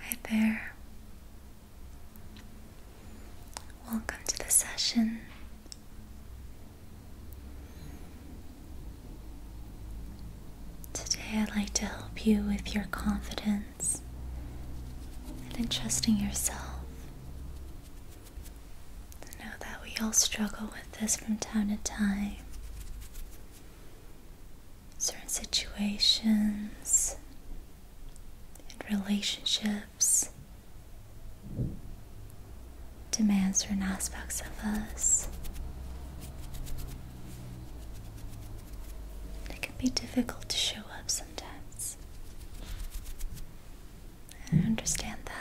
Hi there. Welcome to the session. Today, I'd like to help you with your confidence and in trusting yourself. know that we all struggle with this from time to time certain situations and relationships demand certain aspects of us. It can be difficult to show up sometimes. I understand that.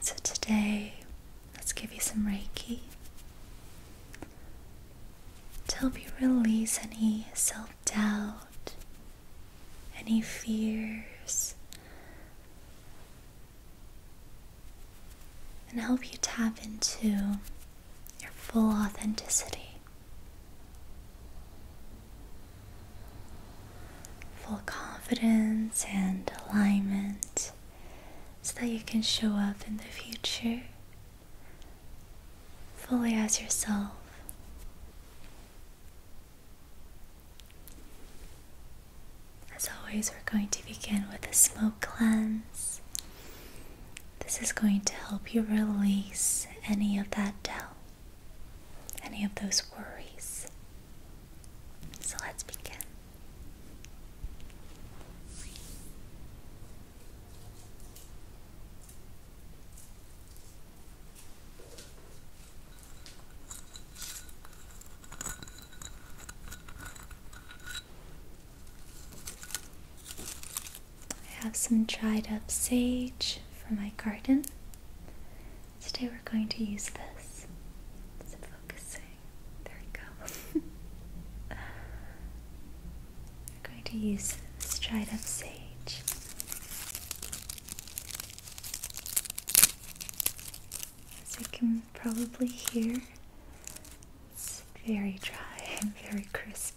So, today, let's give you some Reiki to help you release any self doubt, any fears, and help you tap into your full authenticity full confidence and alignment so that you can show up in the future fully as yourself. As always, we're going to begin with a smoke cleanse. This is going to help you release any of that doubt, any of those worries. So let's begin. I have some dried up sage for my garden Today we're going to use this. It's focusing. There we go. we're going to use this dried up sage. As you can probably hear, it's very dry and very crispy.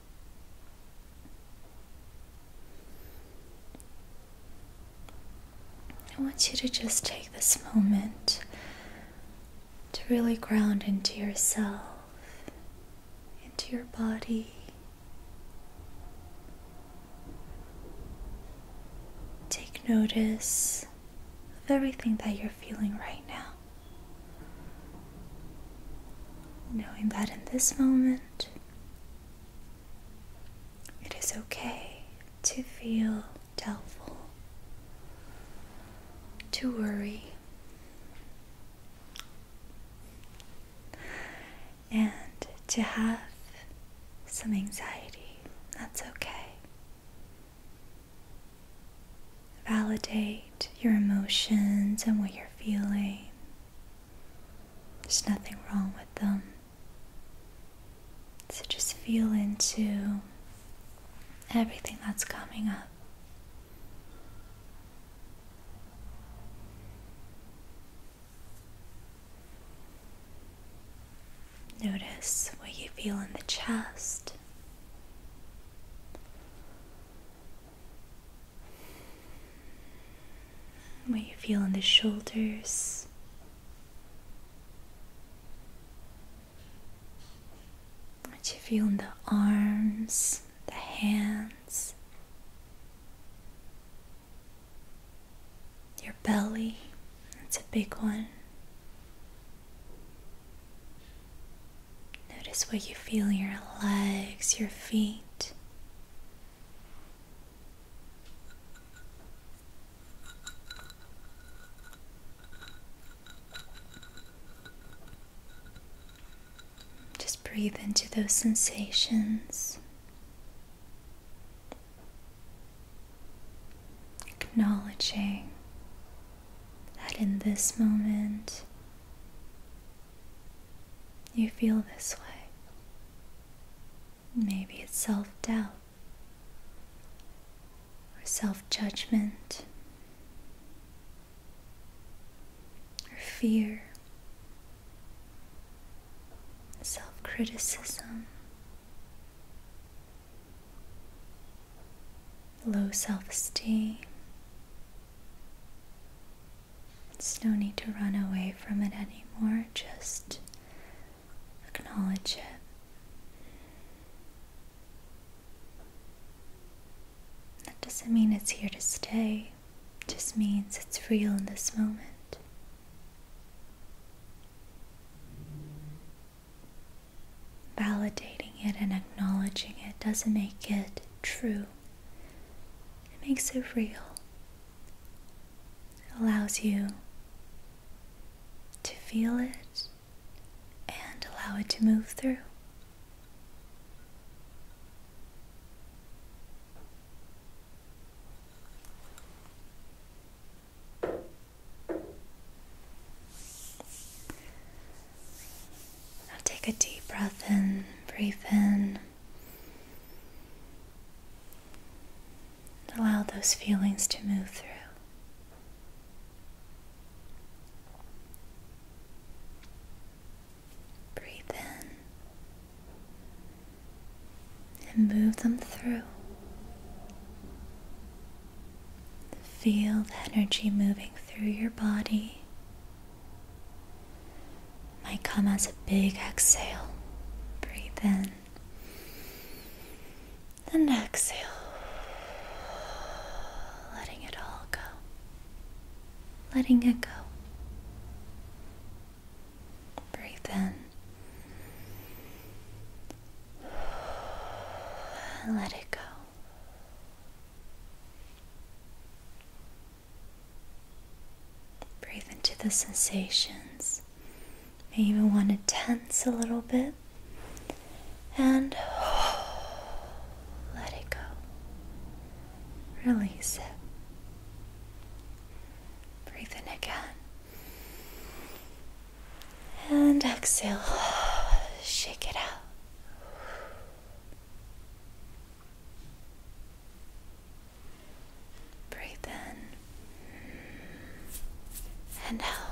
I want you to just take this moment to really ground into yourself, into your body. Take notice of everything that you're feeling right now. Knowing that in this moment, it is okay to feel doubtful, to worry, and to have some anxiety. That's okay. Validate your emotions and what you're feeling. There's nothing wrong with them. So just feel into everything that's coming up. Notice what you feel in the chest, what you feel in the shoulders. What you feel in the arms, the hands, your belly, that's a big one. Notice what you feel in your legs, your feet, just breathe into those sensations. Acknowledging that in this moment you feel this way. Maybe it's self doubt or self judgment or fear, self criticism. Low self esteem, it's no need to run away from it anymore, just acknowledge it. That doesn't mean it's here to stay, just means it's real in this moment. Validating it and acknowledging it doesn't make it true, it makes it real allows you to feel it and allow it to move through. Now take a deep breath in, breathe in. Allow those feelings to move through. Breathe in and move them through. Feel the energy moving through your body might come as a big exhale. Breathe in then exhale, letting it all go, letting it go. Breathe in. Let it go. Breathe into the sensations. Maybe even want to tense a little bit and let it go. Release it. Breathe in again. And exhale. Shake it out. Breathe in and out.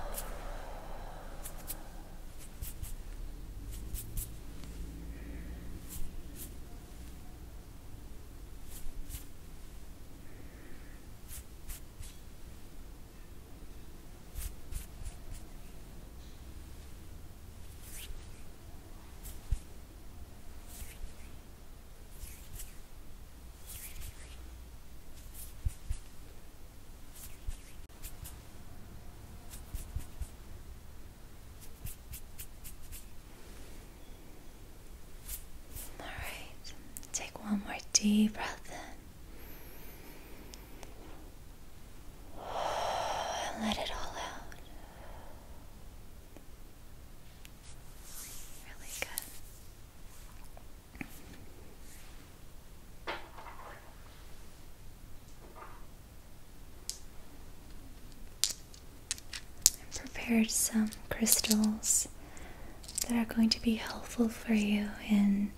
All right, take one more deep breath in. And let it all out. Really I prepared some crystals that are going to be helpful for you in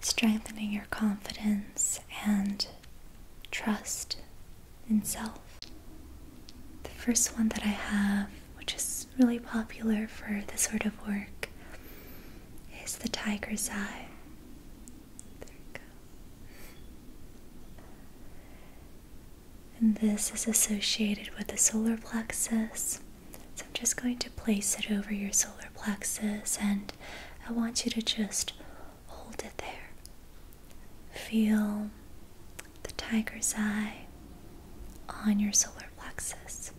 strengthening your confidence and trust and self. The first one that I have, which is really popular for this sort of work, is the tiger's eye. There we go. And this is associated with the solar plexus. So I'm just going to place it over your solar plexus and I want you to just hold it there. Feel the tiger's eye on your solar plexus.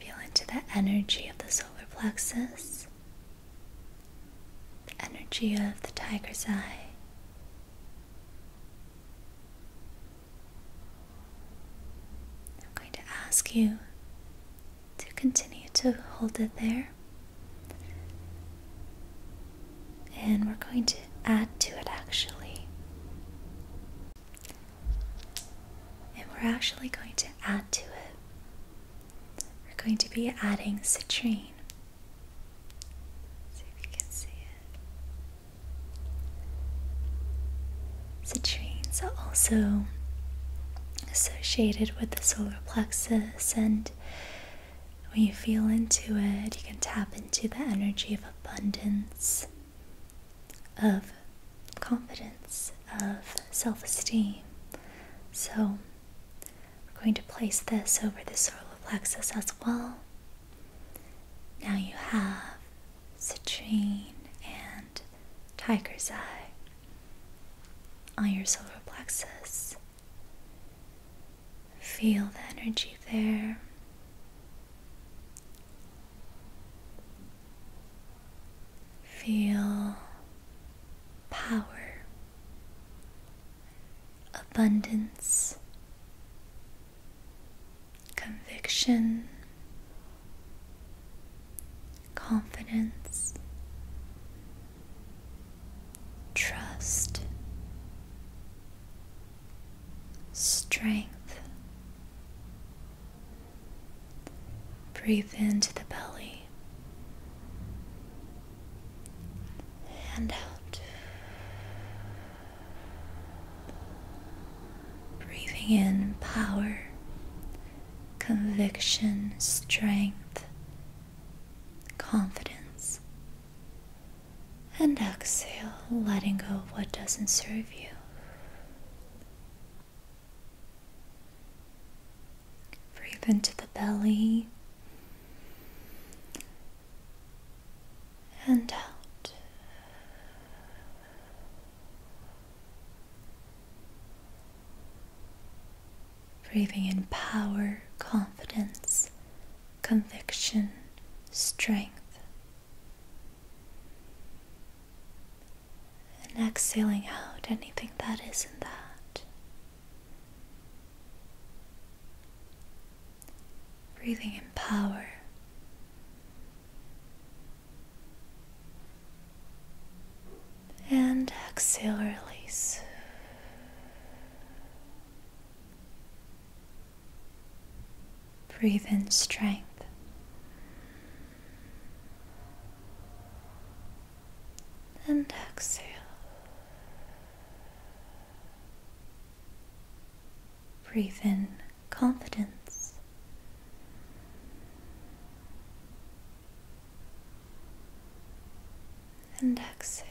Feel into the energy of the solar plexus, the energy of the tiger's eye. I'm going to ask you to continue to hold it there and we're going to add to it actually. And we're actually going to add to it. We're going to be adding citrine. see if you can see it. Citrine's are also associated with the solar plexus and when you feel into it, you can tap into the energy of abundance, of confidence, of self esteem. So, we're going to place this over the solar plexus as well. Now you have citrine and tiger's eye on your solar plexus. Feel the energy there. Feel power, abundance, conviction, confidence, trust, strength. Breathe into the belly and out. Breathing in power, conviction, strength, confidence. And exhale, letting go of what doesn't serve you. Breathe into the belly and out breathing in power, confidence, conviction, strength, and exhaling out anything that isn't that. Breathing in power. And exhale, release. Breathe in strength. And exhale. Breathe in confidence and exhale.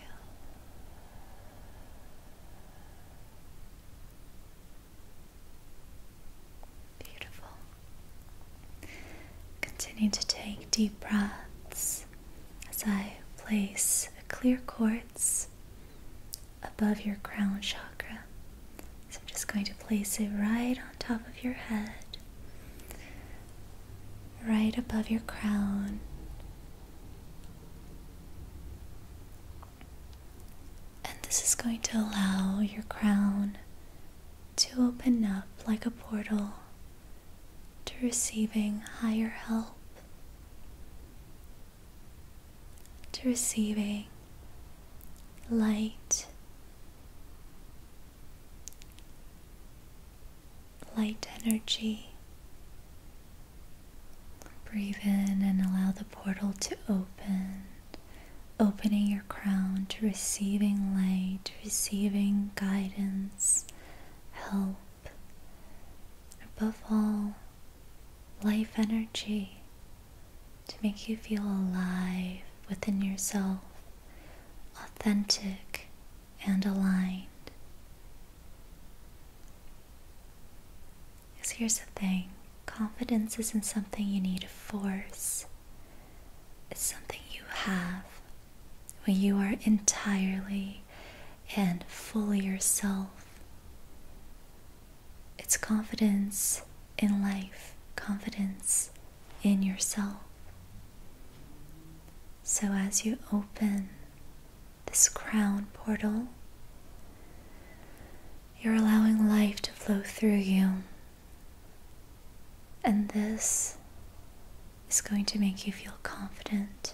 Beautiful. Continue to take deep breaths as I place a clear quartz above your crown chakra. So I'm just going to place it right on top of your head, right above your crown, and this is going to allow your crown to open up like a portal to receiving higher help, to receiving light light energy. Breathe in and allow the portal to open, opening your crown to receiving light, receiving guidance, help. Above all, life energy to make you feel alive within yourself, authentic and aligned. Because here's the thing confidence isn't something you need to force, it's something you have when you are entirely and fully yourself. It's confidence in life, confidence in yourself. So as you open this crown portal. You're allowing life to flow through you. And this is going to make you feel confident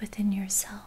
within yourself.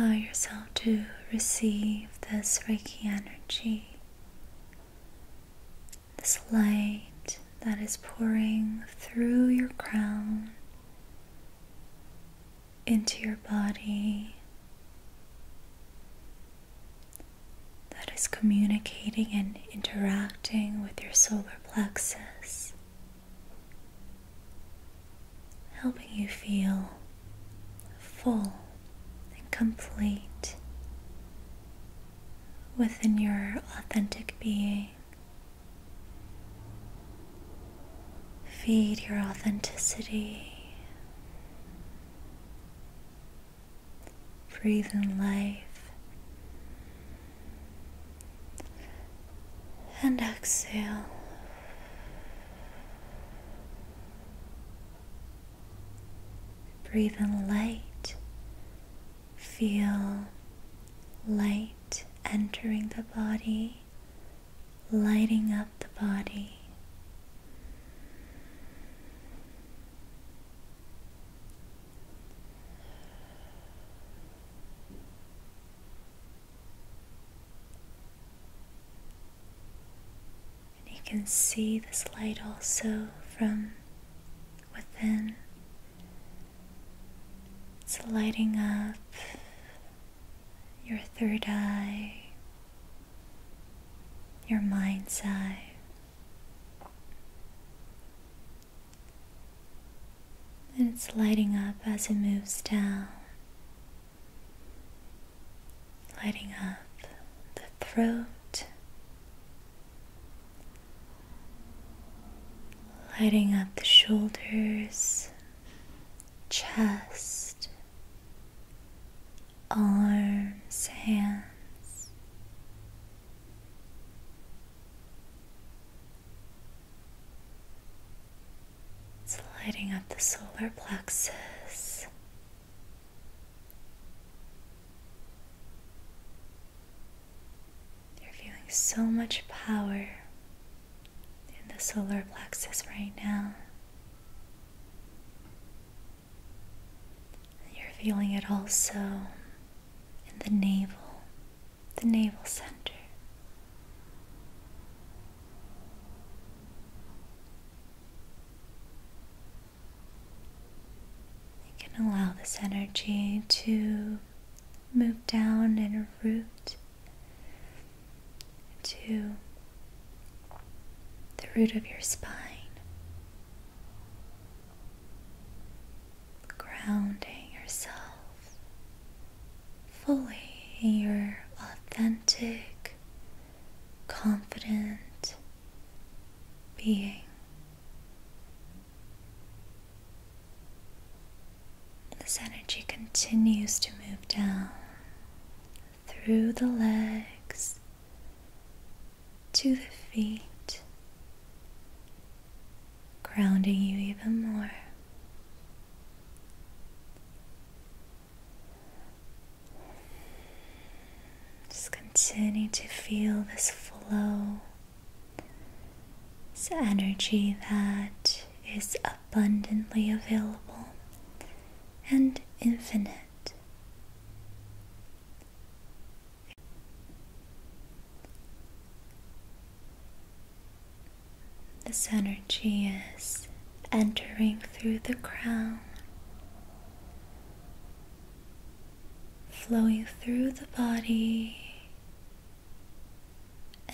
Allow yourself to receive this Reiki energy, this light that is pouring through your crown into your body that is communicating and interacting with your solar plexus, helping you feel full and complete within your authentic being. Feed your authenticity. Breathe in life. And exhale. Breathe in light. Feel light entering the body lighting up the body. And you can see this light also from within. It's lighting up your third eye, your mind's eye. And it's lighting up as it moves down, lighting up the throat, lighting up the shoulders chest, arms, hands. It's lighting up the solar plexus. You're feeling so much power in the solar plexus right now. And you're feeling it also in the navel, the navel center. You can allow this energy to move down and root to the root of your spine, grounding yourself fully in your authentic, confident being. This energy continues to move down through the legs to the feet, grounding you even more. Just continue to feel this flow, this energy that is of abundantly available and infinite. This energy is entering through the crown, flowing through the body,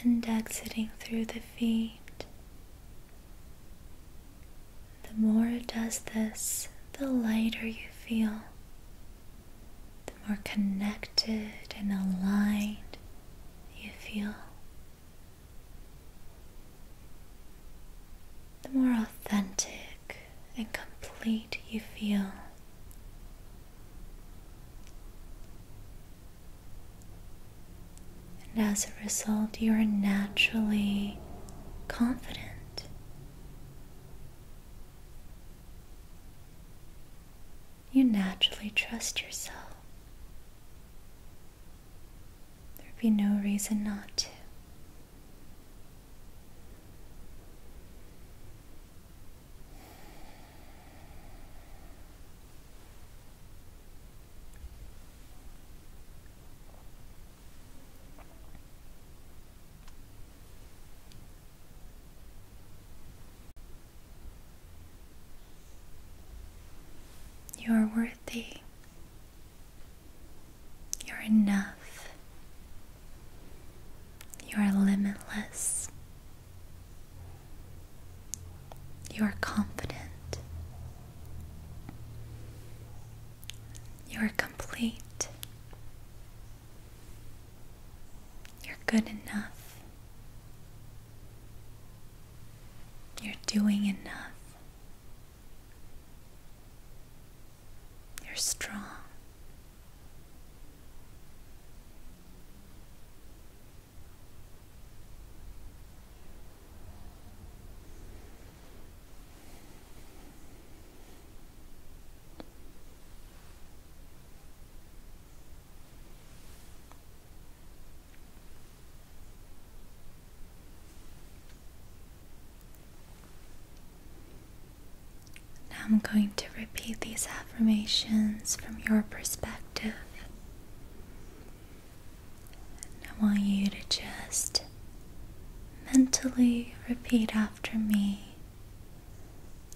and exiting through the feet. The more it does this, the lighter you feel, the more connected and aligned you feel, the more authentic and complete you feel. And as a result, you are naturally confident. You naturally trust yourself. There'd be no reason not to. You are worthy. You're enough. You are limitless. You are confident. You are complete. You're good enough. You're doing enough. You're strong. Now I'm going to repeat these affirmations from your perspective. I want you to just mentally repeat after me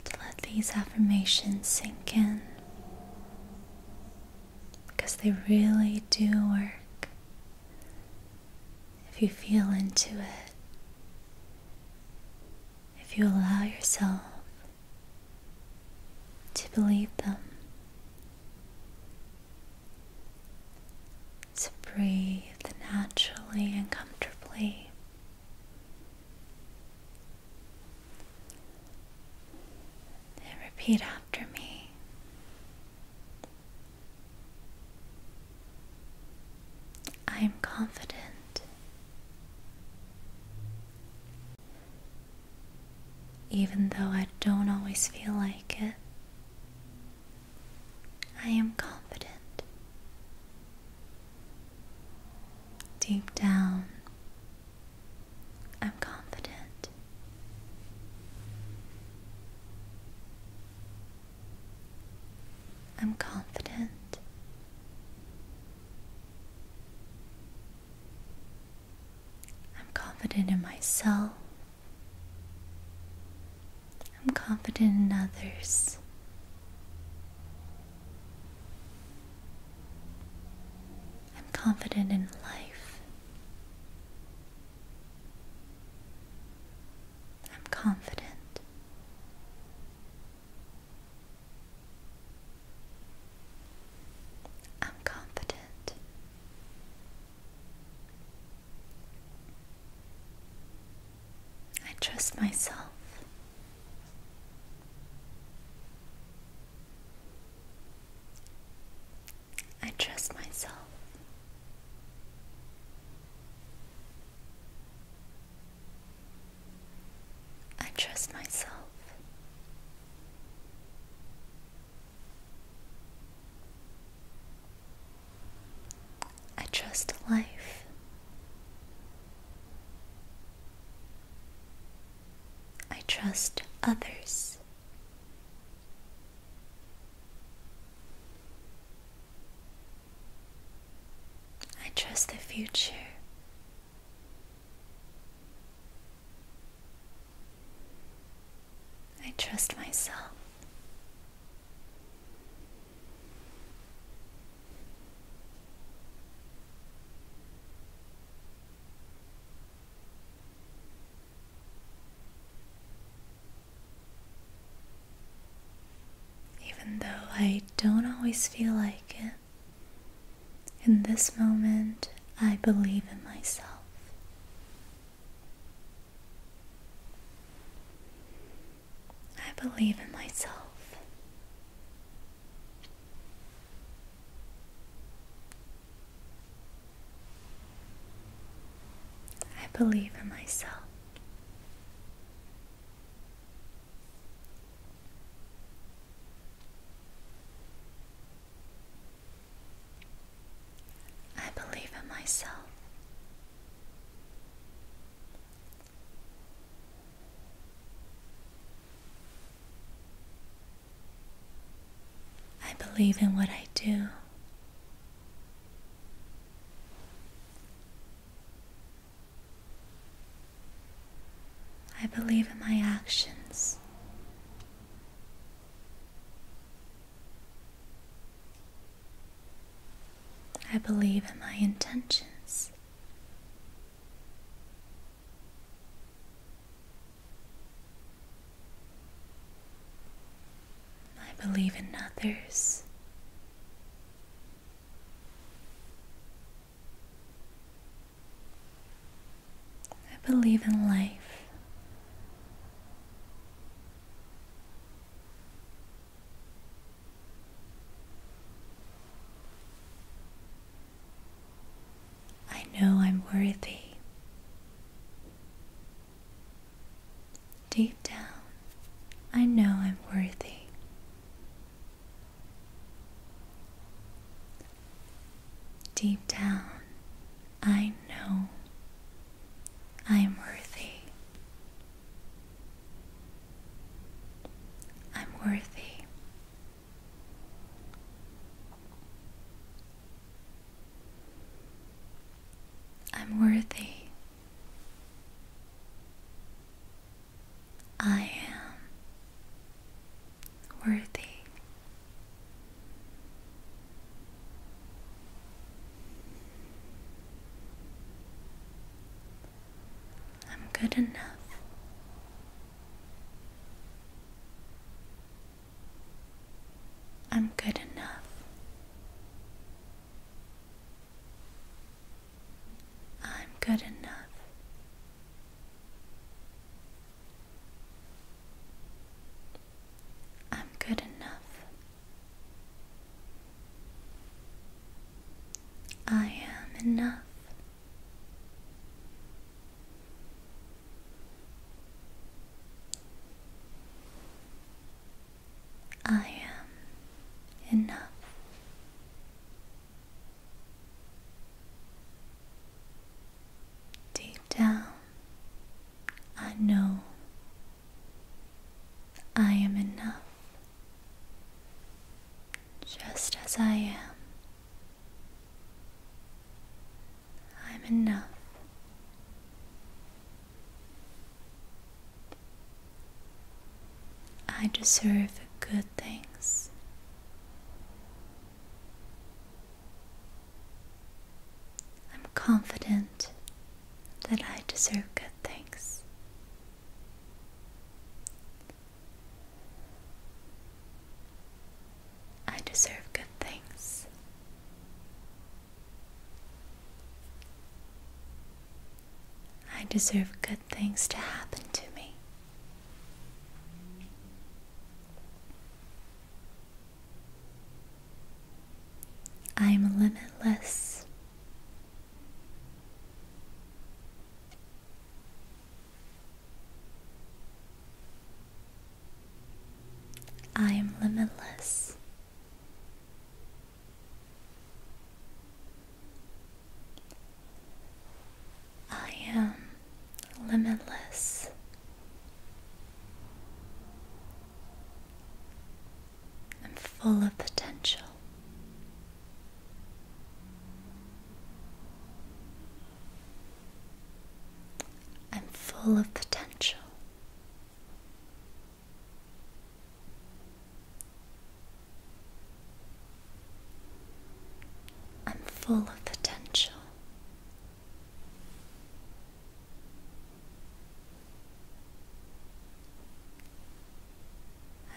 to let these affirmations sink in because they really do work if you feel into it, if you allow yourself to believe them to breathe naturally and comfortably. And repeat after me. I am confident. Even though I don't always feel like it, I am confident. Deep down, I'm confident. I'm confident. I'm confident in myself. I'm confident in others. I'm confident in life. I'm confident. I'm confident. I trust myself. I trust myself. I trust myself. I trust life. I trust others. I trust the future. I trust myself. Even though I don't always feel like it, in this moment I believe in myself. I believe in myself. I believe in myself. I believe in myself. I believe in what I do. I believe in my actions. I believe in my intentions. I believe in others. I believe in life. I know I'm worthy. Deep down, I know I'm worthy. Deep down, I know I am worthy. I'm worthy. I'm worthy. I am worthy. I'm good enough. I'm good enough. I'm good enough. I'm good enough. I am enough. I am enough. Deep down, I know I am enough just as I am. I'm enough. I deserve good things. I'm confident that I deserve good things. I deserve good things. I deserve good things to happen to me. I'm limitless. I am limitless. I am limitless. I'm full of potential. I'm full of potential. I'm full of potential.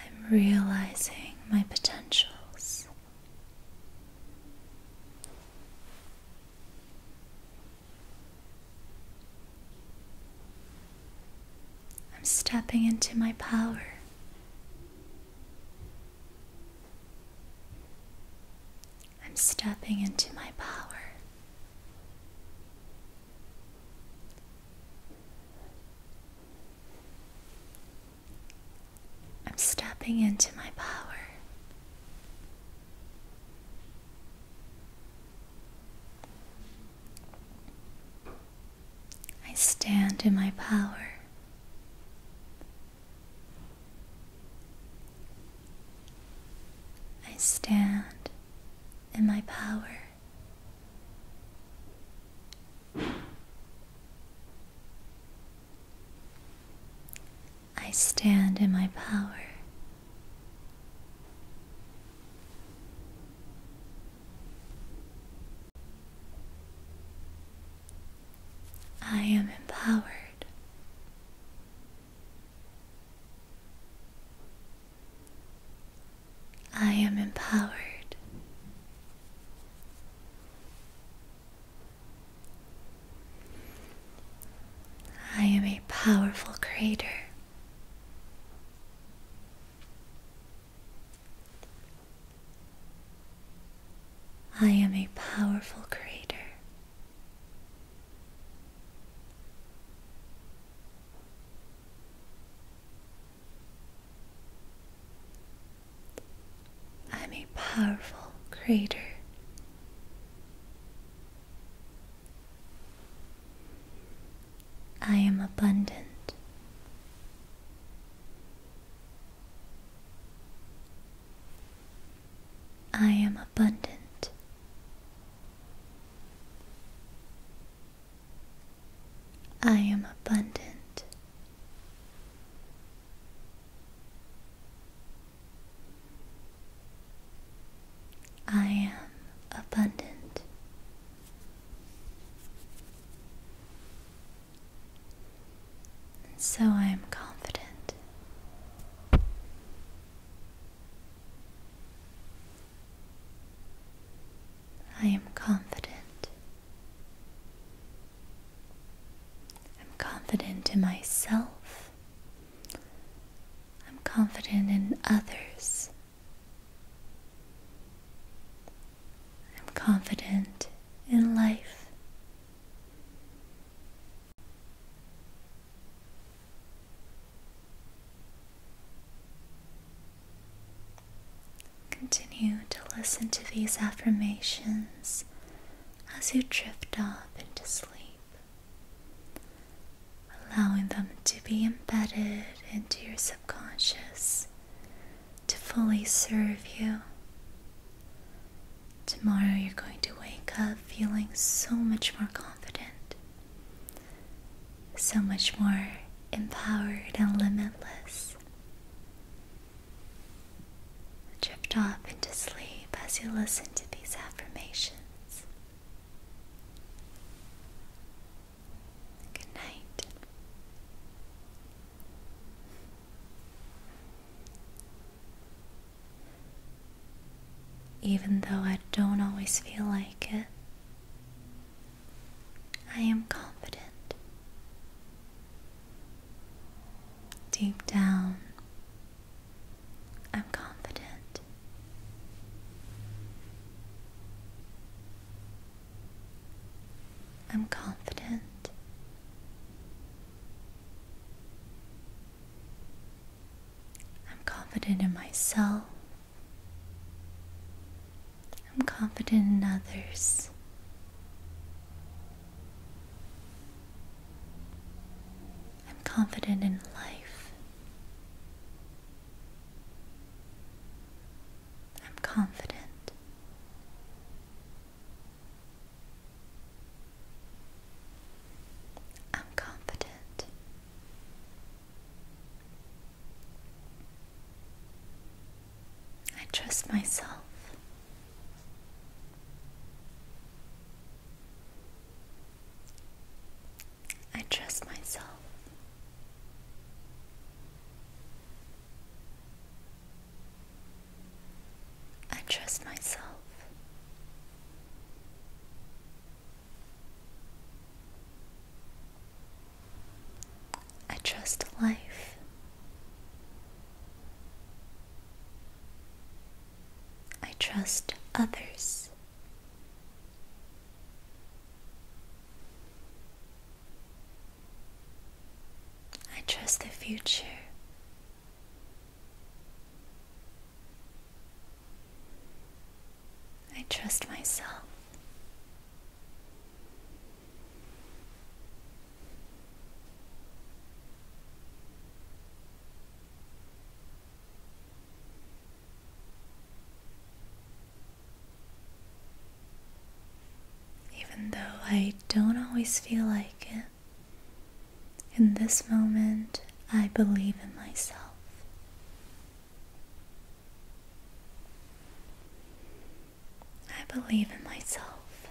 I'm realizing my potentials. I'm stepping into my power. I'm stepping into my power. I'm stepping into my power. I stand in my power. I stand in my power. I stand in my power. I am empowered. I am empowered. I am a powerful creator. I am a powerful creator. I'm a powerful creator. I am abundant. I am abundant. I am abundant. I am abundant. And so I am confident. I am confident. I'm confident in myself. I'm confident in others. I'm confident in life. Continue to listen to these affirmations as you drift off into sleep, allowing them to be embedded into your subconscious to fully serve you. Tomorrow you're going to wake up feeling so much more confident so much more empowered and limitless. Drift off into sleep as you listen to these affirmations. Good night. Even though I don't always feel like it, I am confident. Deep down, I'm confident. I'm confident. I'm confident in myself. I'm confident in others. I'm confident in life. I'm confident. I'm confident. I trust myself. I trust myself. I trust myself. I trust life. I trust others. I trust the future. I trust myself. Even though I don't always feel like it, in this moment I believe in myself. I believe in myself.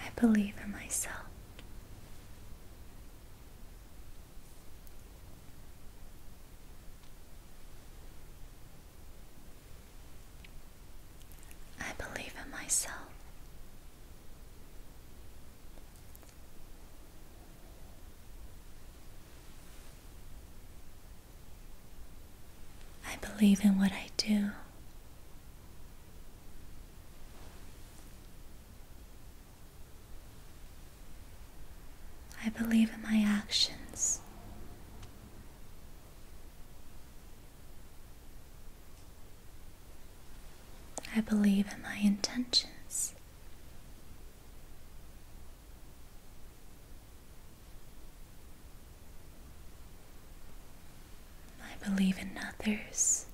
I believe in myself. I believe in myself. I believe in what I do. I believe in my actions. I believe in my intentions. I believe in others.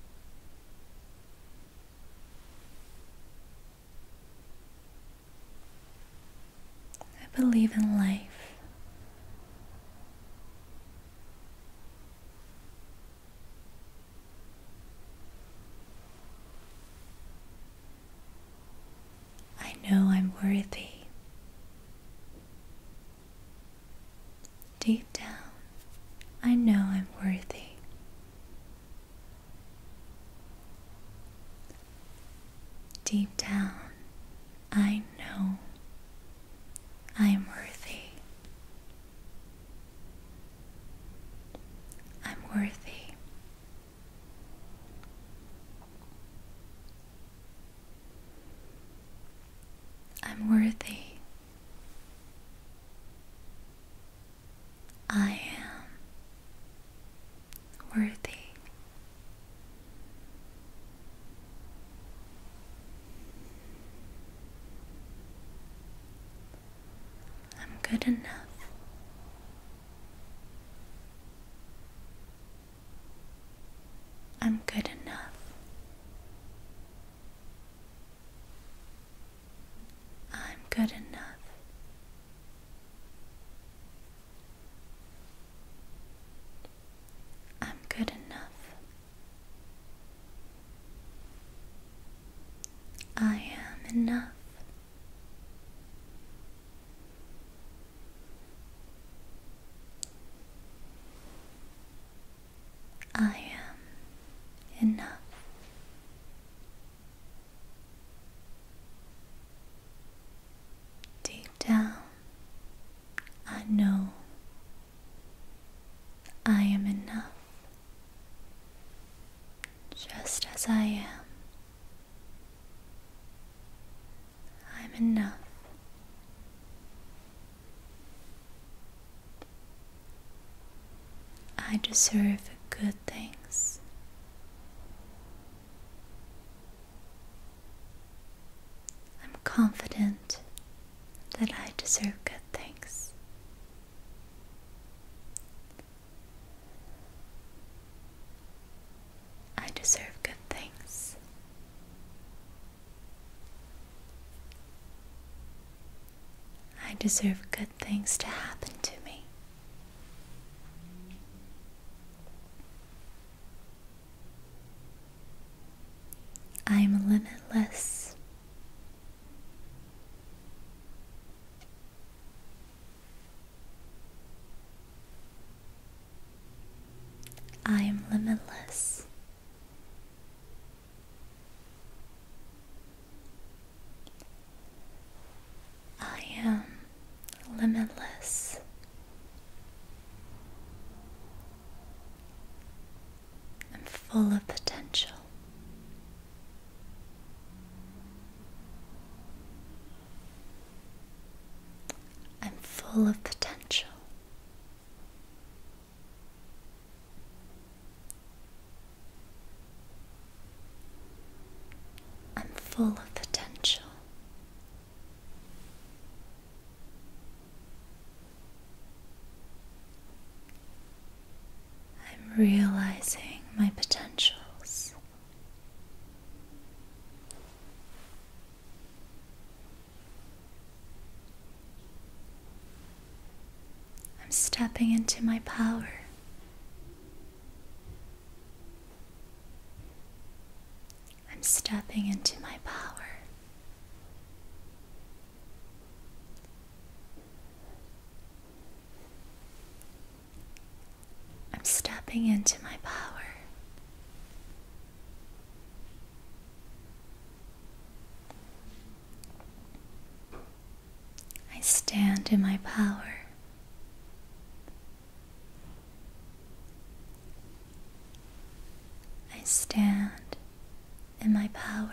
I believe in life. I know I'm worthy. Deep down, I know I'm worthy. Deep down, I know I am worthy. I'm worthy. I'm worthy. I am worthy. I'm good enough. I'm good enough. I'm good enough. I'm good enough. I am enough. I am enough. Deep down, I know I am enough just as I am. I'm enough. I deserve good things. I'm confident that I deserve good things. I deserve good things. I deserve good things to happen to me. I am limitless. I am limitless. I am limitless. I'm full of potential. I'm full of potential. I'm full of potential. I'm realizing my potentials. I'm stepping into my power. I'm stepping into my power. I'm stepping into my power. I stand in my power. I stand in my power.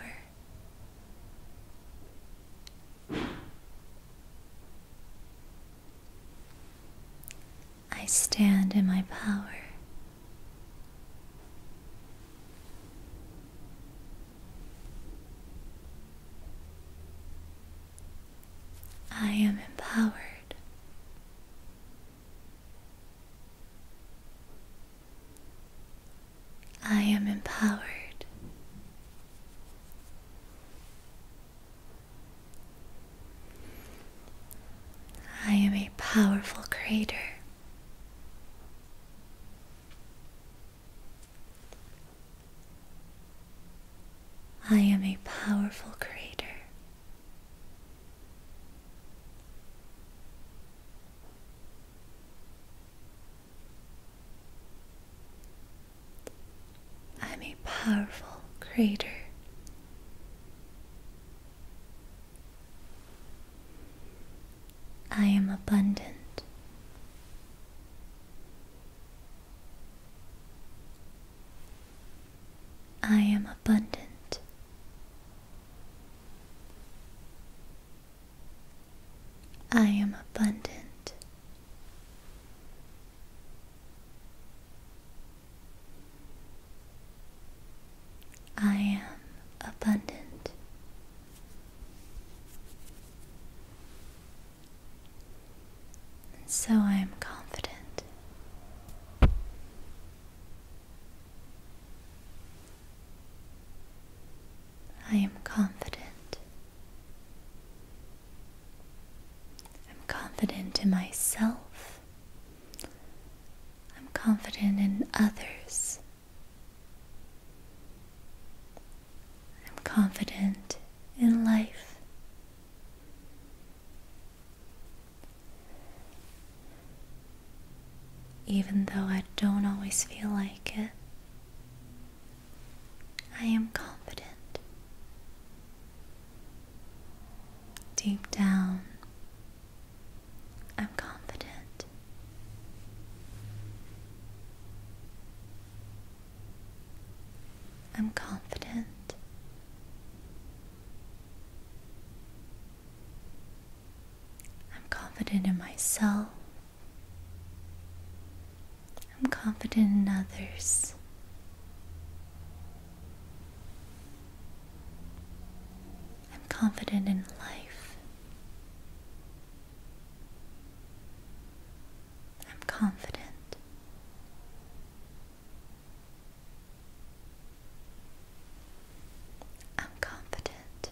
I stand in my power. I am empowered. I am empowered. I am a powerful creator. I am a powerful creator. I'm a powerful creator. I am abundant. I am abundant. I am abundant. I am abundant. And so I am confident. I am confident. I'm confident in myself. I'm confident in others. I'm confident in life. Even though I don't always feel like it, I am confident. Deep down, I'm confident. I'm confident. I'm confident in myself. I'm confident in others. I'm confident in life. I'm confident. I'm confident.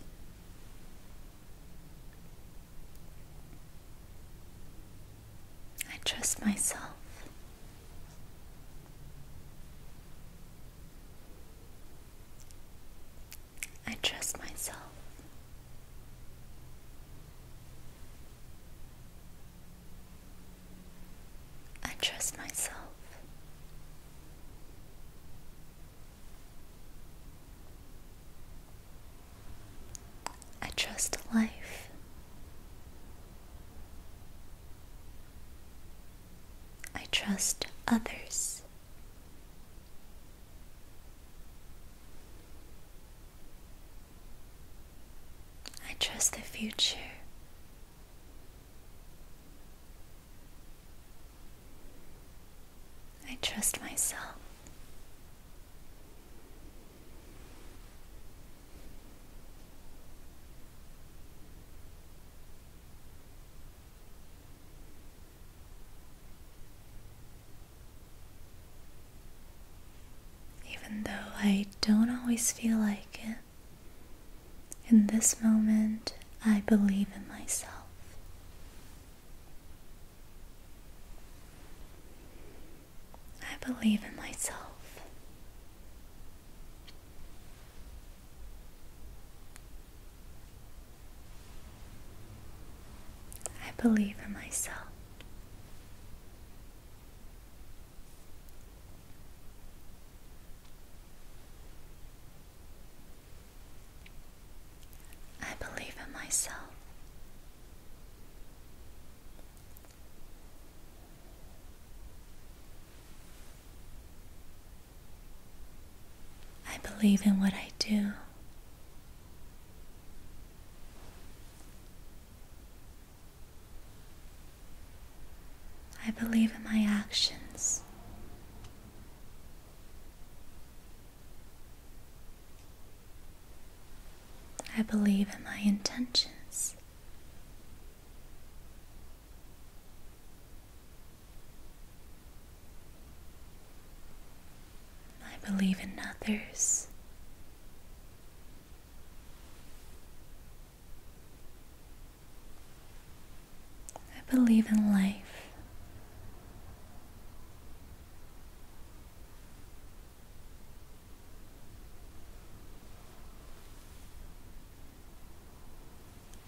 I trust myself. I trust myself. I trust myself. I trust life. I trust others. I trust the future. I trust myself. Even though I don't always feel like it. In this moment, I believe in myself. I believe in myself. I believe in myself. I believe in myself. I believe in what I do. I believe in my actions. I believe in my intentions. I believe in others. I believe in life.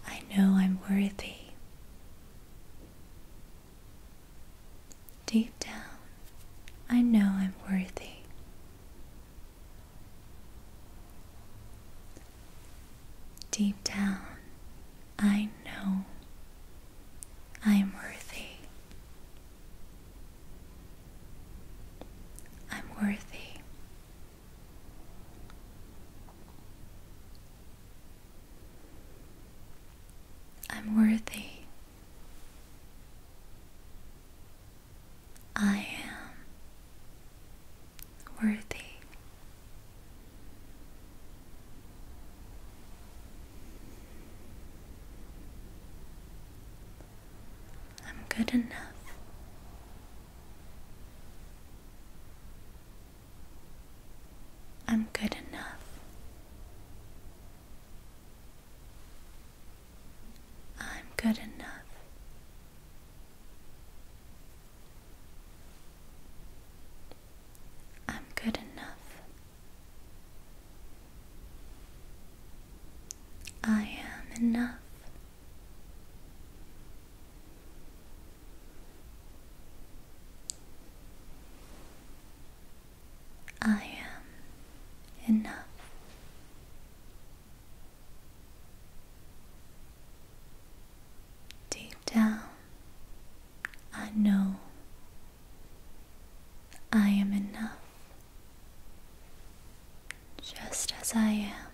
I know I'm worthy. Deep down, I know I'm worthy. Deep down, I know I am worthy. I'm worthy. I'm worthy. I am worthy. I'm good enough. I'm good enough. I'm good enough. I'm good enough. I am enough. I am enough. Deep down I know I am enough just as I am.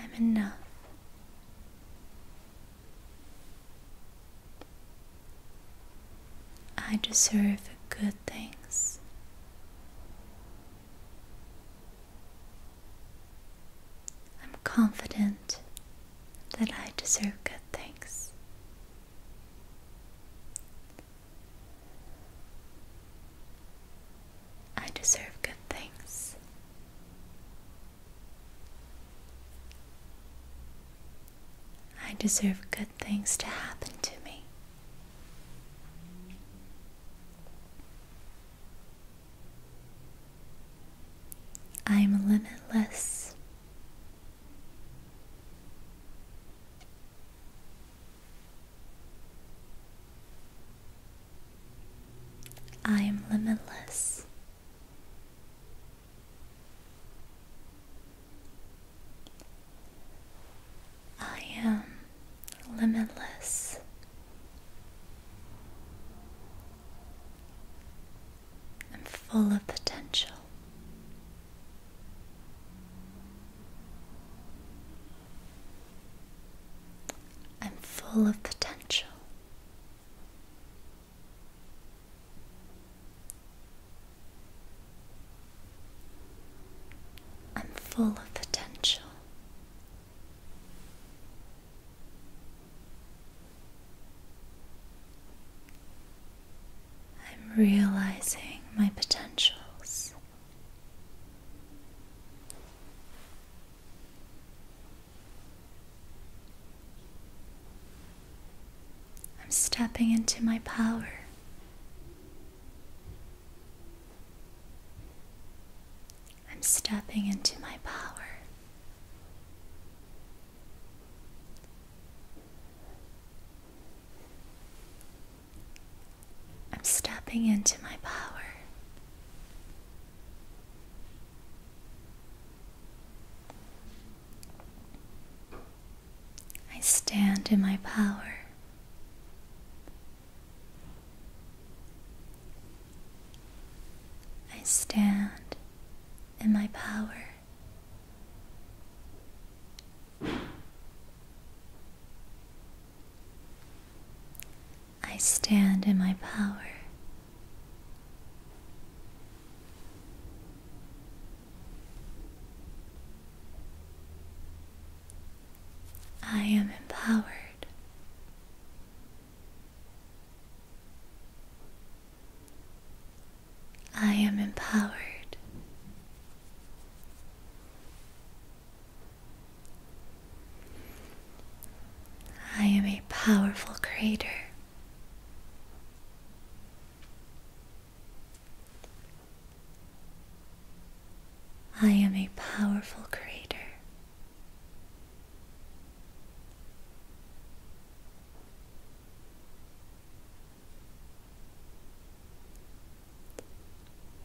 I'm enough. I deserve good things. I'm confident that I deserve good things. I deserve good things. I deserve good things to happen to me. I am limitless. I am limitless. I am limitless. I'm full of potential. I'm full of potential. I'm full of potential. I'm realizing my potentials. I'm stepping into my power. I'm stepping into my power. I'm stepping into my power. I stand in my power. I stand in my power. I stand in my power. I am empowered. I am empowered. I am a powerful creator. I am a powerful creator.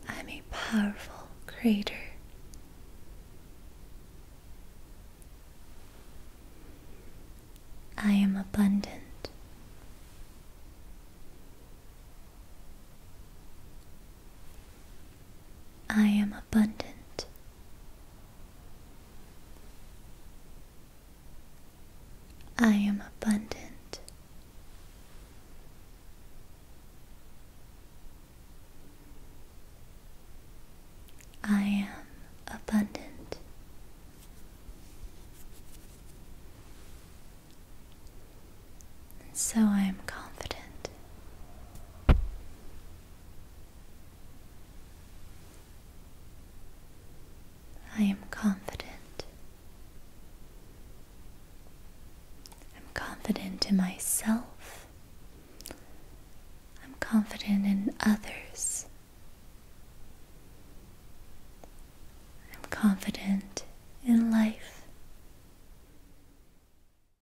I'm a powerful creator. I am abundant. I am abundant. I am abundant. I am abundant. And so I am confident. I am confident. I'm confident in myself. I'm confident in others. I'm confident in life.